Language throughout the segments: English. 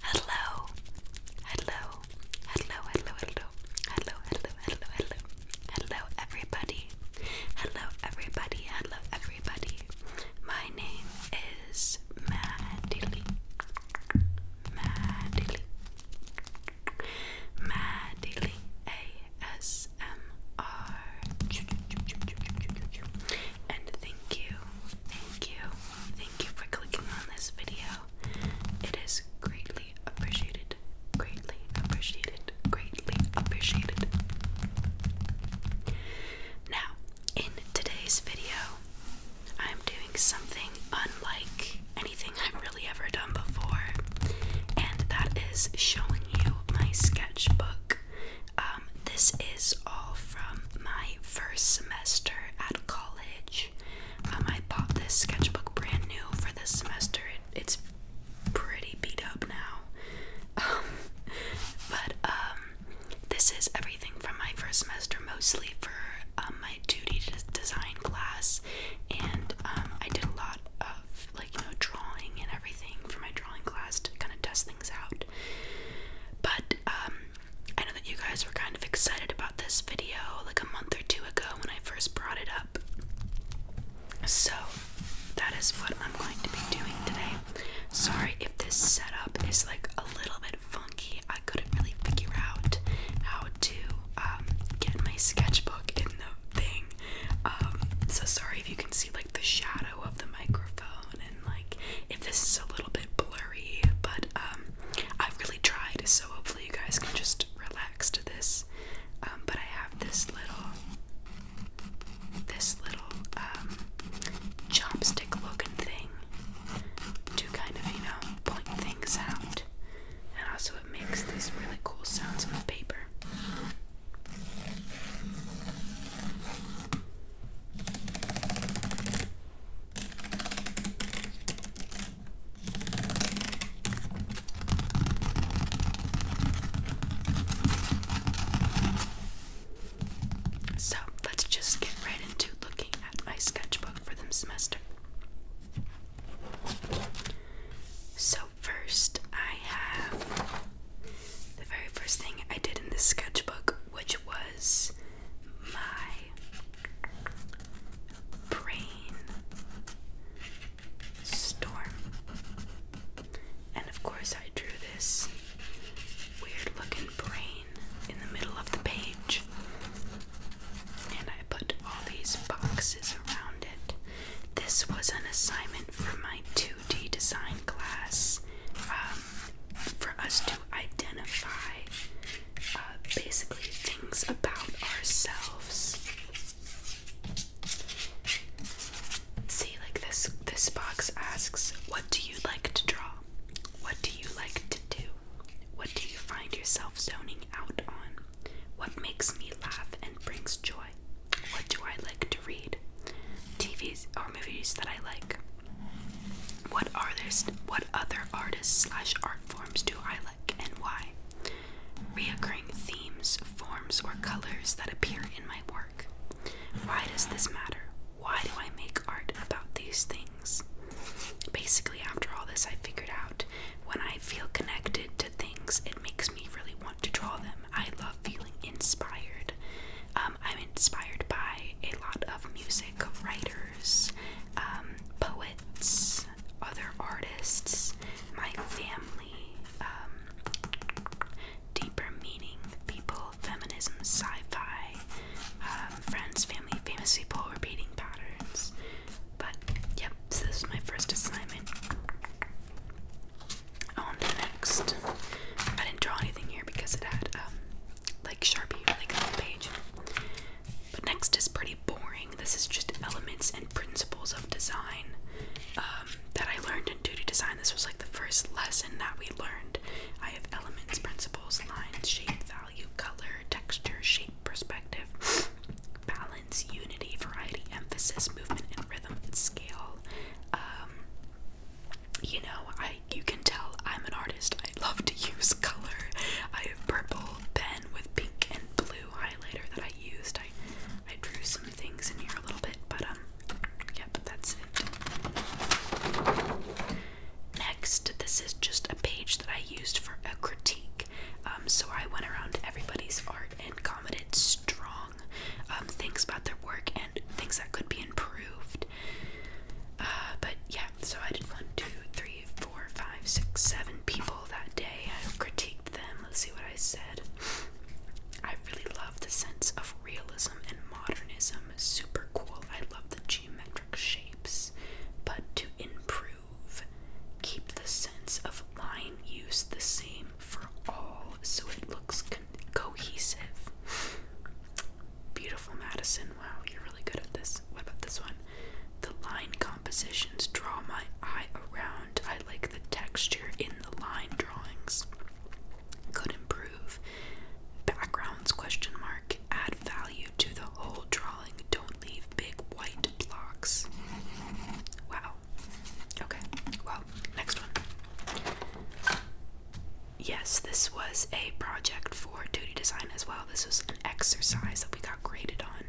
Hello, hello, hello, hello, hello, hello, hello, hello, hello, hello, everybody, hello, everybody, hello, everybody. My name is Maddie Lee. Maddie Lee. Maddie ASMR. And thank you, thank you, thank you for clicking on this video. It is greatly appreciated, greatly appreciated, greatly appreciated. Now, in today's video, I'm doing something unlike anything I've ever done before, and that is showing you my sketchbook. Um, this is all from my first semester at college. Um, I bought this sketchbook brand new for this semester. it's pretty beat up now, um, but this is everything from my first semester, mostly for my duty d design class, and I did a lot of you know, drawing and everything for my drawing class to kind of test things out. But um, I know that you guys were kind of excited about this video like a month or two ago when I first brought it up. So that is what I'm going to be doing today. Sorry if this setup is like a little bit funky. I couldn't really figure out how to um, get my sketchbook in the thing um, so sorry if you can see like the shadow of the microphone and like if this is a little bit blurry, but um, I've really tried, so hopefully you guys can just relax to this. Um, but I have this little, this little chopstick-looking thing to kind of you know point things out and also it makes these really cool sounds on the paper. So let's just get right into looking at my sketchbook for the semester. So, first I have the very first thing I did in this sketchbook, which was my brain storm. And of course, I drew this weird looking brain in the middle of the page. And I put all these boxes around it this was an assignment for my 2D design class um, for us to identify uh, basically things about ourselves. See, like this this box asks, what do you like to draw? What do you like to do? What do you find yourself zoning out on? What makes me laugh and brings joy? What do I like to read? TVs or movies that I like? What artists, what other artists slash art forms do I like and why? Reoccurring themes, forms, or colors that appear in my work. Why does this matter? Why do I make art about these things? Basically, after all this, I figured out when I feel connected to things, it makes me really want to draw them. I love feeling inspired. Um, I'm inspired by a lot of music, writers, um, poets, other artists, my family, um, deeper meaning people, feminism, sci fi, friends, family, famous people, repeating patterns. But yep, this is my first assignment. On the next. I didn't draw anything here because it had um like Sharpie on the page. But next is pretty boring. This is just elements and principles of design um, that I learned in duty design. This was like the first lesson that we learned. I have elements, principles, lines, shape, value, color, texture, shape, perspective, balance unity, variety, emphasis, movement, and rhythm and scale. Um, you know, I you can tell I'm an artist. I love to use color. I have purple pen with pink and blue highlighter that I used. I I drew some things in here a little bit, but um, yep, that's it. Next, this is just a page that I used for a critique. Um, so I went around everybody's art and commented strong um, things about their work and things that could be improved. Uh, but yeah, so I did one, two, three, four, five, six, seven people that day. I critiqued them. Let's see what I said. I really love the sense of realism and modernism. Super cool. I love the geometric shapes. But to improve Keep the sense of line use the same for all so it looks cohesive. Beautiful, Madison. Wow, you're really good at this. What about this one? The line compositions draw my eye around. I like the texture in the line drawings. Could improve. Backgrounds question mark. Add value to the whole drawing. Don't leave big white blocks. Wow. Okay, well, next one. Yes, this was a project for duty design as well. This was an exercise that we got graded on.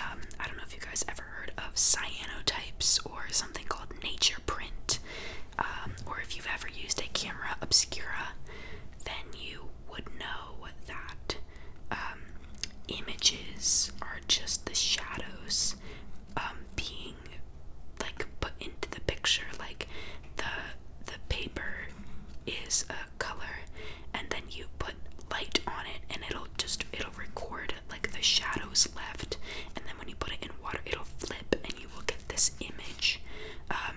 Um, I don't know if you guys ever heard of cyanotypes or something called nature print, um, or if you've ever used a camera obscura, then you would know that um, images are just the shadows um, being like put into the picture. Like the the paper is a color, and then you put light on it, and it'll just it'll record like the shadows left, and then when you put it in water, it'll flip, and you will get this image. Um,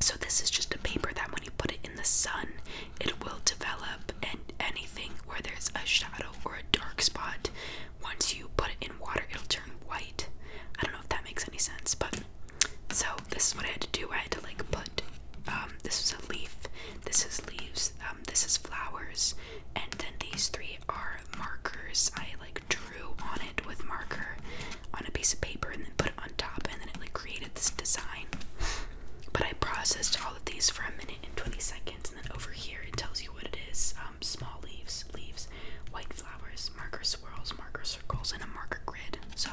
so this is just a paper that when you put it in the sun, it will develop and anything where there's a shadow or a dark spot once you put it in water it'll turn white i don't know if that makes any sense but so this is what i had to do i had to like put um, this is a leaf this is leaves um, this is flowers and then these three are markers i like drew on it with marker on a piece of paper and then put on top and then it like created this design. But I processed all of these for a minute and 20 seconds and then over here it tells you what it is. Um, small leaves, leaves, white flowers, marker swirls, marker circles, and a marker grid. So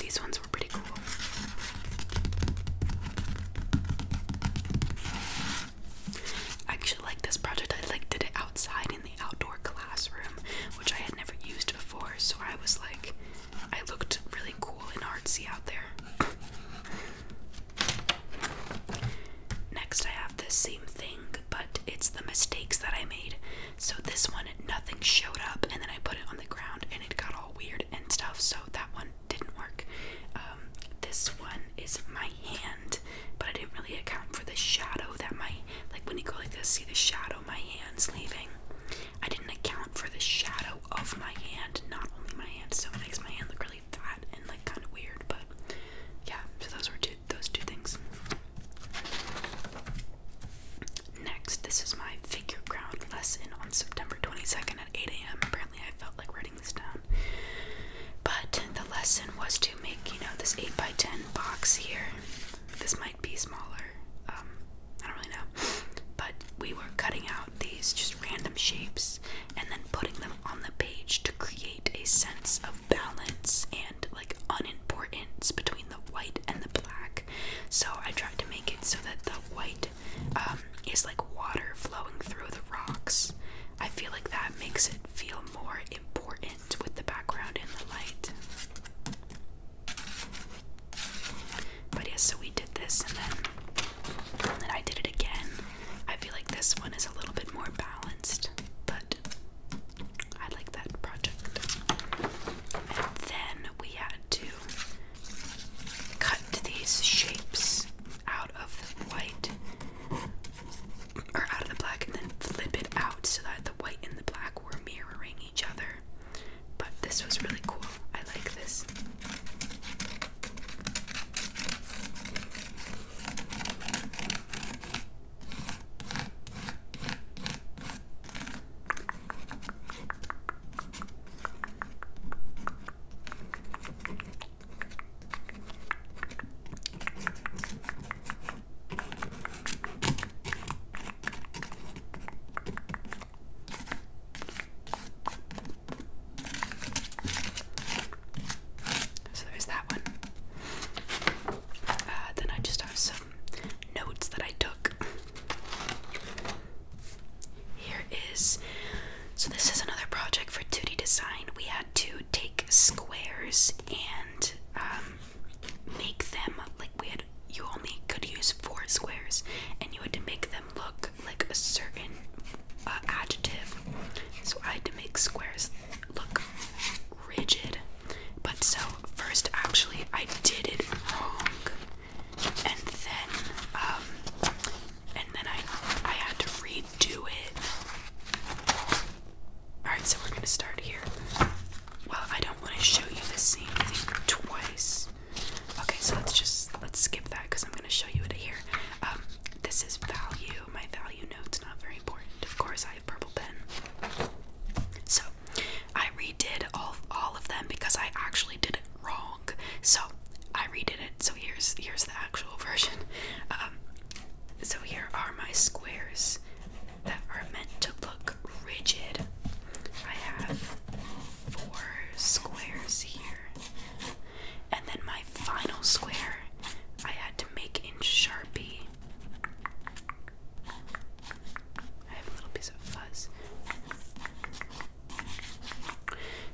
these ones were pretty cool. I actually like this project. I like did it outside in the outdoor classroom which I had never used before, so I was like, I looked really cool and artsy out there. Next, I have the same thing, but it's the mistakes that I made. So, this one, nothing showed up, and then I put it on the ground and it got all weird and stuff, so that one didn't work. Um, this one is my hand, but I didn't really account for the shadow that my, like when you go like this, see the shadow my hands leaving. I didn't account for the shadow of my hand, not only my hand, so it makes my hand look really fat and like kind of weird. But yeah, so those were two those two things. Next, this is my figure ground lesson on September 22nd at 8 a.m. Apparently, I felt like writing this down. But the lesson was to make, you know, this 8 by 10 box here. This might be smaller, um, I don't really know. But we were cutting out these just random shapes and then putting them on the page to create a sense of balance and like unimportance between the white and the black. So I tried to make it so that the white um, is like water flowing through the rocks. I feel like that makes it feel more important with the background and the light. But yeah, so we did this and then, and then I did it again. I feel like this one is a little bit more balanced, but I like that project. And then we had to cut these shapes out of the white or out of the black and then flip it out so that the white and the black were mirroring each other. But this was really cool. I like this. So there's that one. Uh, then I just have some notes that I took. Here is so this is another project for 2D design. We had to take squares and um, make them like we had you only could use four squares and you had to make them look like a certain uh, adjective. So I had to make squares look rigid. But so first actually I did it wrong and then um and then I I had to redo it Alright, so we're gonna start here. Well, I don't want to show you the same thing twice. Okay, so let's just let's skip that because I'm gonna show you it here. Um, this is value. My value note's not very important. Of course, I have purple pen. So I redid all all of them because I actually did it wrong. So I redid it. So here's here's the actual version. Um, so here are my squares that are meant to look rigid. I have four squares here. And then my final square I had to make in Sharpie. I have a little piece of fuzz.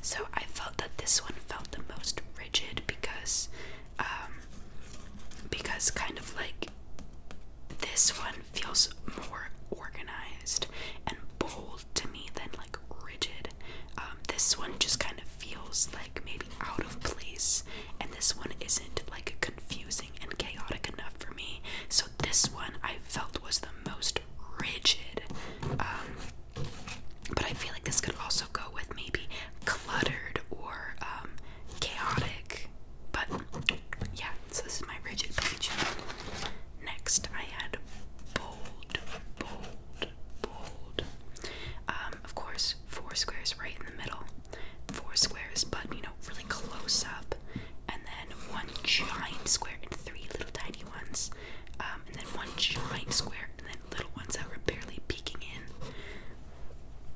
So I felt that this one felt the most rigid because um because kind of like this one feels more organized and bold to me than like rigid. Um, this one just kind of feels like maybe out of place, and this one isn't like confusing and chaotic enough for me. So, this one I felt was the most rigid. Um, but I feel like this could also go with maybe cluttered or um, chaotic. But yeah, so this is my rigid page. Next, I had bold, bold, bold. Um, of course, four squares right in the middle, four squares, but you know, really close up, and then one giant square and three little tiny ones, um, and then one giant square and then little ones that were barely peeking in.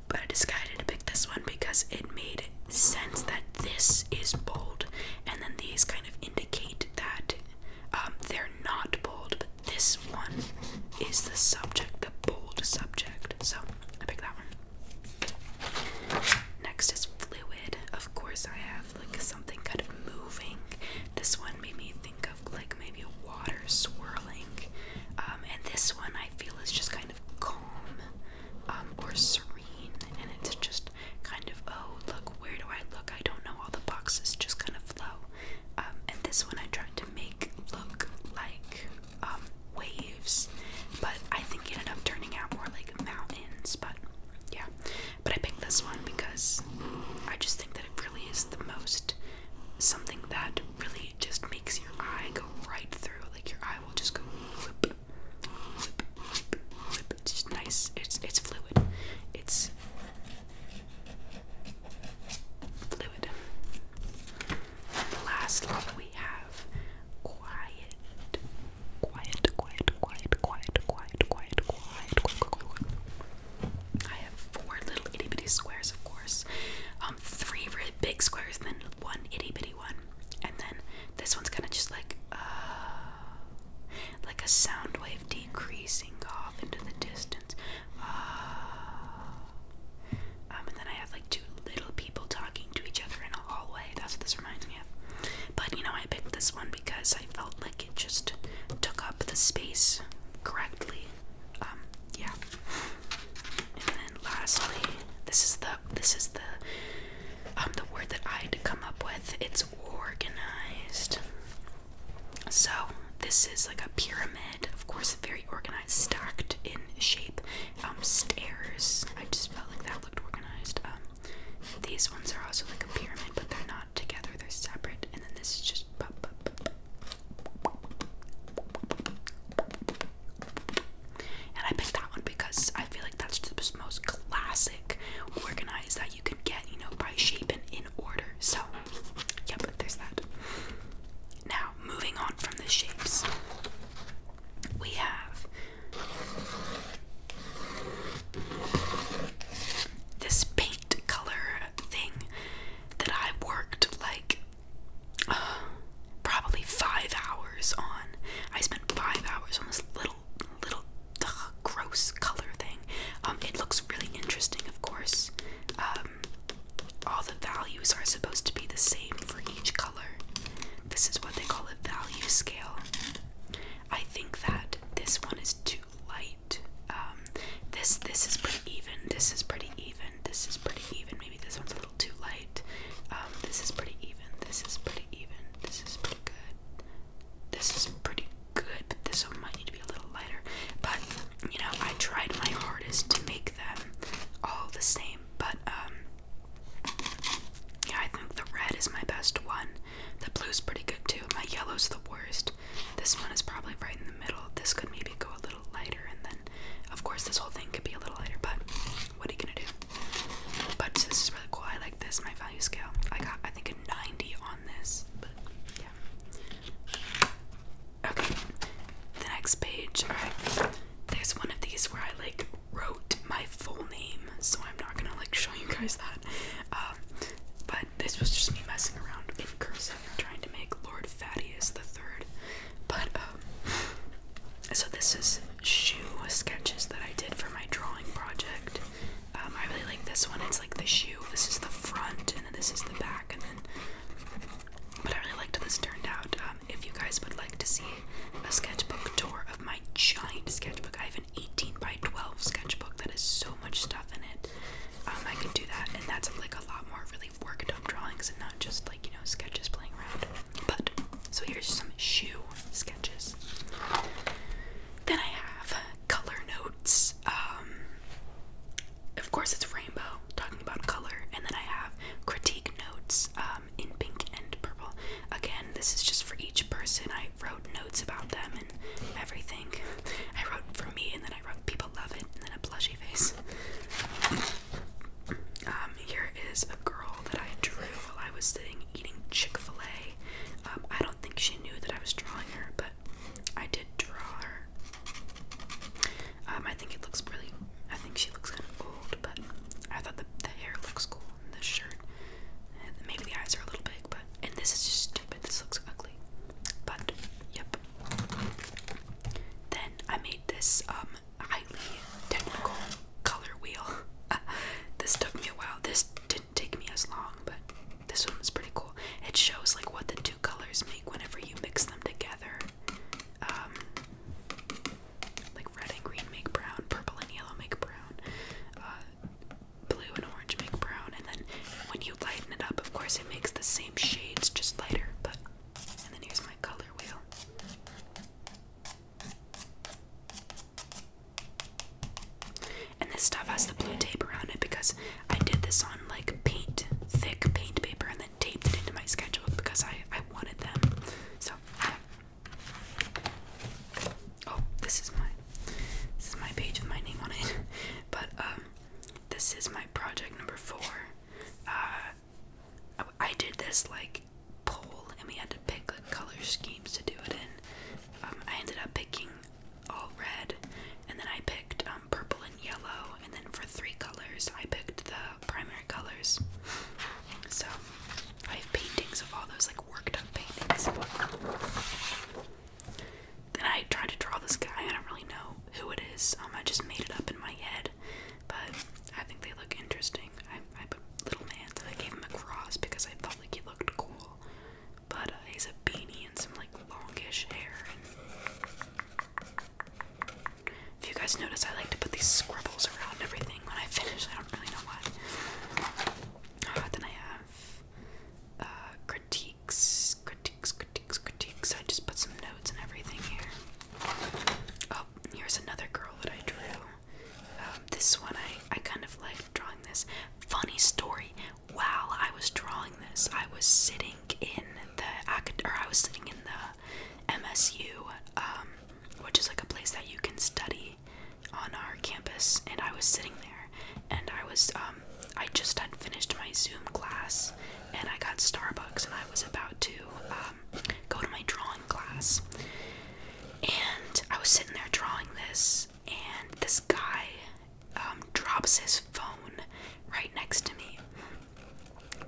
But I decided to pick this one because it made sense that this is bold, and then these kind of indicate that um, they're not bold, but this one is the subject, the bold subject. So I picked that one. Next is fluid. Of course, I have like something kind of moving. This one made me think of like maybe water swirling, um, and this one I feel is just kind of calm um, or serene, and it's just kind of oh look where do I look? I don't know. All the boxes just kind of flow. Um, and this one I tried to make look like um, waves, but I think it ended up turning out more like mountains. But yeah, but I picked this one because I just think that it really is the most something that it really just makes your eye go right through. Like your eye will just go whip, whip, whip, whip. It's just nice. It's it's fluid. It's fluid. And last one we have quiet. Quiet, quiet, quiet, quiet, quiet, quiet, quiet, quiet, quiet, quiet. I have four little itty bitty squares, of course. Um, um, three really big squares, then one itty bitty one, and then this one's kind of just like uh, like a sound wave decreasing off into the distance. Uh, um, and then I have like two little people talking to each other in a hallway. That's what this reminds me of. But you know, I picked this one because I felt like it just took up the space correctly. Um, yeah. And then lastly, this is the this is the um the word that I had to come up with. It's organized. So this is like a pyramid, of course, very organized, stacked in shape. Um, stairs. I just felt like that looked organized. Um, these ones are also like a pyramid, but they're not together; they're separate. And then this is just pop up. And I picked that one because I feel like that's the most classic organized that you can get, you know, by shape and in order. So, yeah, but there's that. Now, moving on from the shapes, we have this paint color thing that I worked like probably five hours on. I spent five hours on this little, little gross color thing. Um, it looks really interesting, of course. Um, all the values are supposed to be the same for each color. This is what they call a value scale. I think that this one is too light. Um, this this is pretty even. This is pretty even. This is pretty even. Maybe this one's a little too light. Um, this is pretty even. This is pretty even. This is pretty good. This is pretty good, but this one might need to be a little lighter. But you know, I tried my hardest to make them all the same. But um, yeah, I think the red is my best one. The blue's pretty good too. My yellow's the worst. This one is probably right in the middle. This could maybe go a little lighter, and then, of course, this whole thing could be a little lighter, but what are you gonna do? But this is really cool. I like this, my value scale. I got, I think, a 90 on this, but yeah. Okay, the next page. Alright, there's one of these where I like wrote my full name, so I'm not gonna like show you guys that. Um, but this was just me messing around in cursive and trying to make Lord Thaddeus the Third but um, so this is shoe sketches that I did for my drawing project. Um, I really like this one. It's like the shoe. This is the front, and then this is the back, and then. But I really liked how this turned out. Um, if you guys would like to see a sketchbook tour of my giant sketchbook, I have an 18 by 12 sketchbook that has so much stuff in it. Um, I can do that, and that's like a lot more really worked up drawings and not just like you know sketches playing around. But so here's some shoe sketches. Then I have color notes. Um, of course, it's rainbow talking about color, and then I have critique notes um, in pink and purple. Again, this is just for each person. I wrote notes about them and everything. I wrote for me, and then I wrote people love it, and then a plushy face. Um, here is a girl that I drew while I was sitting eating Chick fil A. Um, don't think she knew that I was drawing her, but I did draw her. Um, I think it looks really, I think she looks kind of old, but I thought the, the hair looks cool in this shirt. And maybe the eyes are a little big, but, and this is just stupid, this looks ugly. But yep. Then I made this um highly technical color wheel. this took me a while. This didn't take me as long, but this one was pretty cool. It shows like what the two colors make whenever you mix them together. Um, like red and green make brown, purple and yellow make brown, uh, blue and orange make brown, and then when you lighten it up, of course, it makes the same shades just lighter. But and then here's my color wheel. And this stuff has the blue tape around it because I did this on like paint, thick paint paper, and then taped it into my schedule because I I wanted them. So oh, this is my this is my page with my name on it. But um, this is my project number four. Uh, I, did this like poll, and we had to pick like color schemes to do it in. Um, I ended up picking all red, and then I picked um, purple and yellow, and then for three colors, I picked the primary colors. So I have paintings of all those like worked up paintings and I tried to draw this guy. I don't really know who it is. Um, I just made it up in my head, but I think they look interesting. I, put little hands. so I gave him a cross because I felt like he looked cool. But uh, he's a beanie and some like longish hair. if you guys notice, I like to put these scribbles around everything when I finish. I don't really know why. Uh, then I have uh, critique critiques, critiques, critiques, critiques. I just put some notes and everything here. Oh, here's another girl that I drew. Um, this one, I, I kind of like drawing this. Funny story. While I was drawing this, I was sitting in the or I was sitting in the MSU, um, which is like a place that you can study on our campus, and I was sitting there, and I was um, um, I just had finished my Zoom class and I got Starbucks and I was about to um, go to my drawing class. And I was sitting there drawing this, and this guy um, drops his phone right next to me.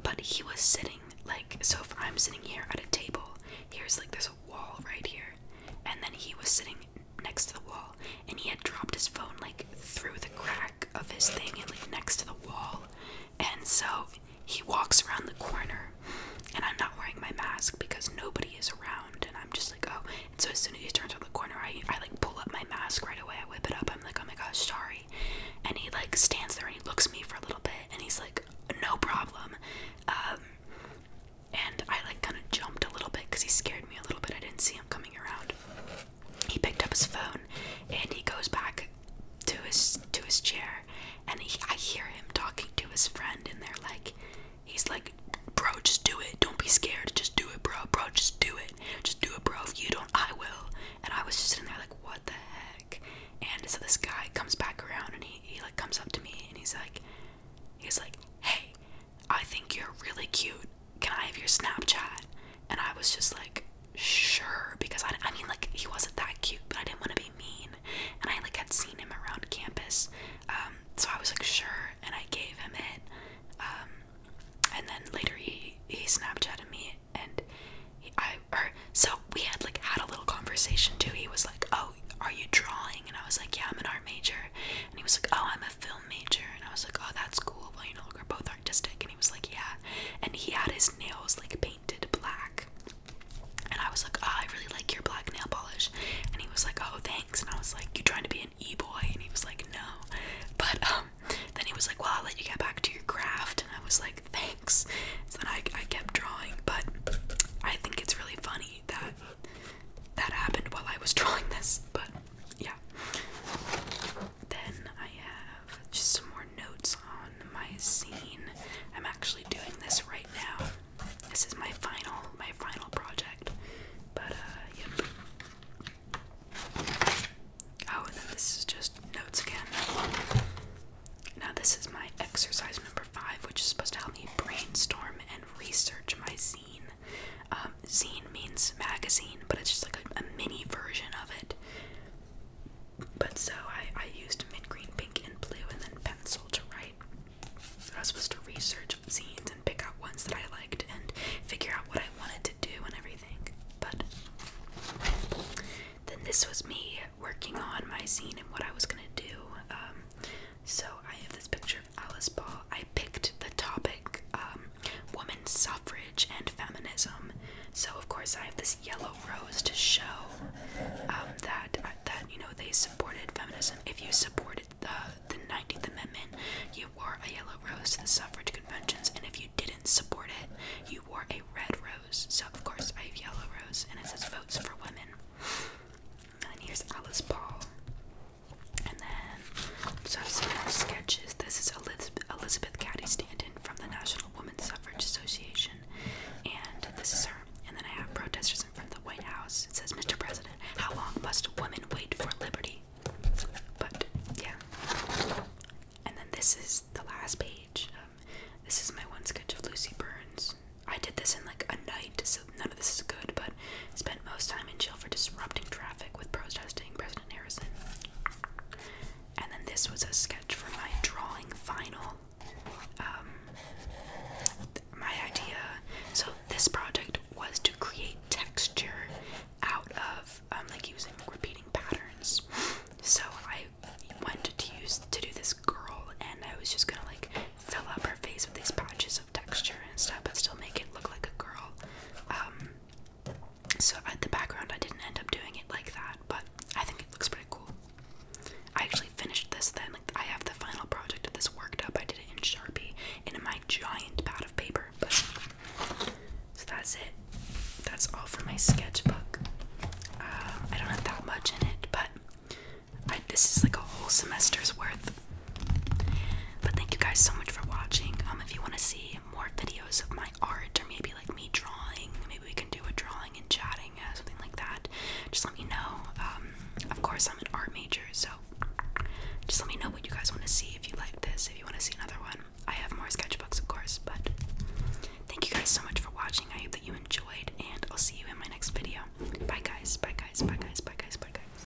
But he was sitting, like, so if I'm sitting here at a table, here's like there's a wall right here. And then he was sitting next to the wall, and he had dropped his phone, like, through the crack of his thing and like next to the wall. And so he walks around the corner and I'm not wearing my mask because nobody is around and I'm just like, oh and so as soon as he turns around the corner I I like pull up my mask right away, I whip it up, I'm like, oh my gosh, sorry. And he like stands there and he looks at me for a little bit and he's like, no problem. Um and I like kind of jumped a little bit because he scared me a little bit. I didn't see him coming around he picked up his phone and he goes back to his to his chair and I hear him talking to his friend and they're like he's like bro just do it don't be scared just do it bro bro just do it just do it bro if you don't I will and I was just sitting there like what the heck and so this guy comes back around and he, he like comes up to me and he's like he's like hey I think you're really cute. Can I have your Snapchat? And I was just like, sure, because I, I mean, like, he wasn't that cute, but I didn't want to be mean. And I, like, had seen him around campus. Um, so I was like, sure. And I gave him it. Um, and then later he, he Snapchatted me and he, I, or, so we had like had a little conversation too. He was like, oh, are you drawing? And I was like, yeah, I'm an art major. And he was like, oh, I'm a film major and I was like, Oh, that's cool. Well, you know, we're both artistic and he was like, Yeah. And he had his nails like painted black. And I was like, oh, I really like your black nail polish. And he was like, Oh, thanks. And I was like, You trying to be an e boy? And he was like, No. But um, then he was like, Well, I'll let you get back to your craft. And I was like, Thanks. So then I I kept drawing, but I think it's really funny that that happened while I was drawing this. But yeah. Then I have just some more notes on my scene. I'm actually doing this right now. This is my final, my final project. But uh, Oh, this is just notes again. Now this is my exercise number five, which is supposed to help me brainstorm and research my scene. Um, zine means magazine, but it's just like a, mini version of it. But so I, I used mint green, pink, and blue, and then pencil to write. So I was supposed to research zines and pick out ones that I liked and figure out what I wanted to do and everything. But then this was me working on my zine and what I was gonna do. Um, so I have this picture. Alice Paul, I picked the topic um, women's suffrage and feminism. So of course I have this yellow rose to show um, that uh, that you know they supported feminism. If you supported the the 19th Amendment, you wore a yellow rose to the suffrage conventions, and if you didn't support it, you wore a red rose. So of course I have yellow rose, and it says votes for women. And here's Alice Paul. And then, so some more sketches. This is Elizabeth, Cady Stanton from the National Woman Suffrage Association. And this is her. And then I have protesters in front of the White House. It says, Mr. President, how long must women wait for liberty? But, yeah. And then this is the last page. Um, this is my one sketch of Lucy Burns. I did this in like a night, so this is good, but spent most time in jail for disrupting traffic with protesting President Harrison. And then this was a sketch for my drawing final. Um, my idea. So this project was to create texture out of um, like using repeating patterns. So I went to use to do this girl, and I was just gonna like fill up her face with these patches of texture and stuff, but still make it look like a girl. Um, so at the background, I didn't end up doing it like that, but I think it looks pretty cool. I actually finished this then. Like, I have the final project of this worked up. I did it in Sharpie and in my giant pad of paper. so that's it. That's all for my sketchbook. Um, I don't have that much in it, but this is like a whole semester's worth but thank you guys so much for watching. Um, if you want to see more videos of my art or maybe like me drawing, maybe we can do a drawing and chatting, uh, something like that. Just let me know. Um, of course, I'm an art major, so just let me know what you guys want to see. If you like this, if you want to see another one, I have more sketchbooks, of course. But thank you guys so much for watching. I hope that you enjoyed, and I'll see you in my next video. Bye guys. Bye guys. Bye guys. Bye guys. Bye guys.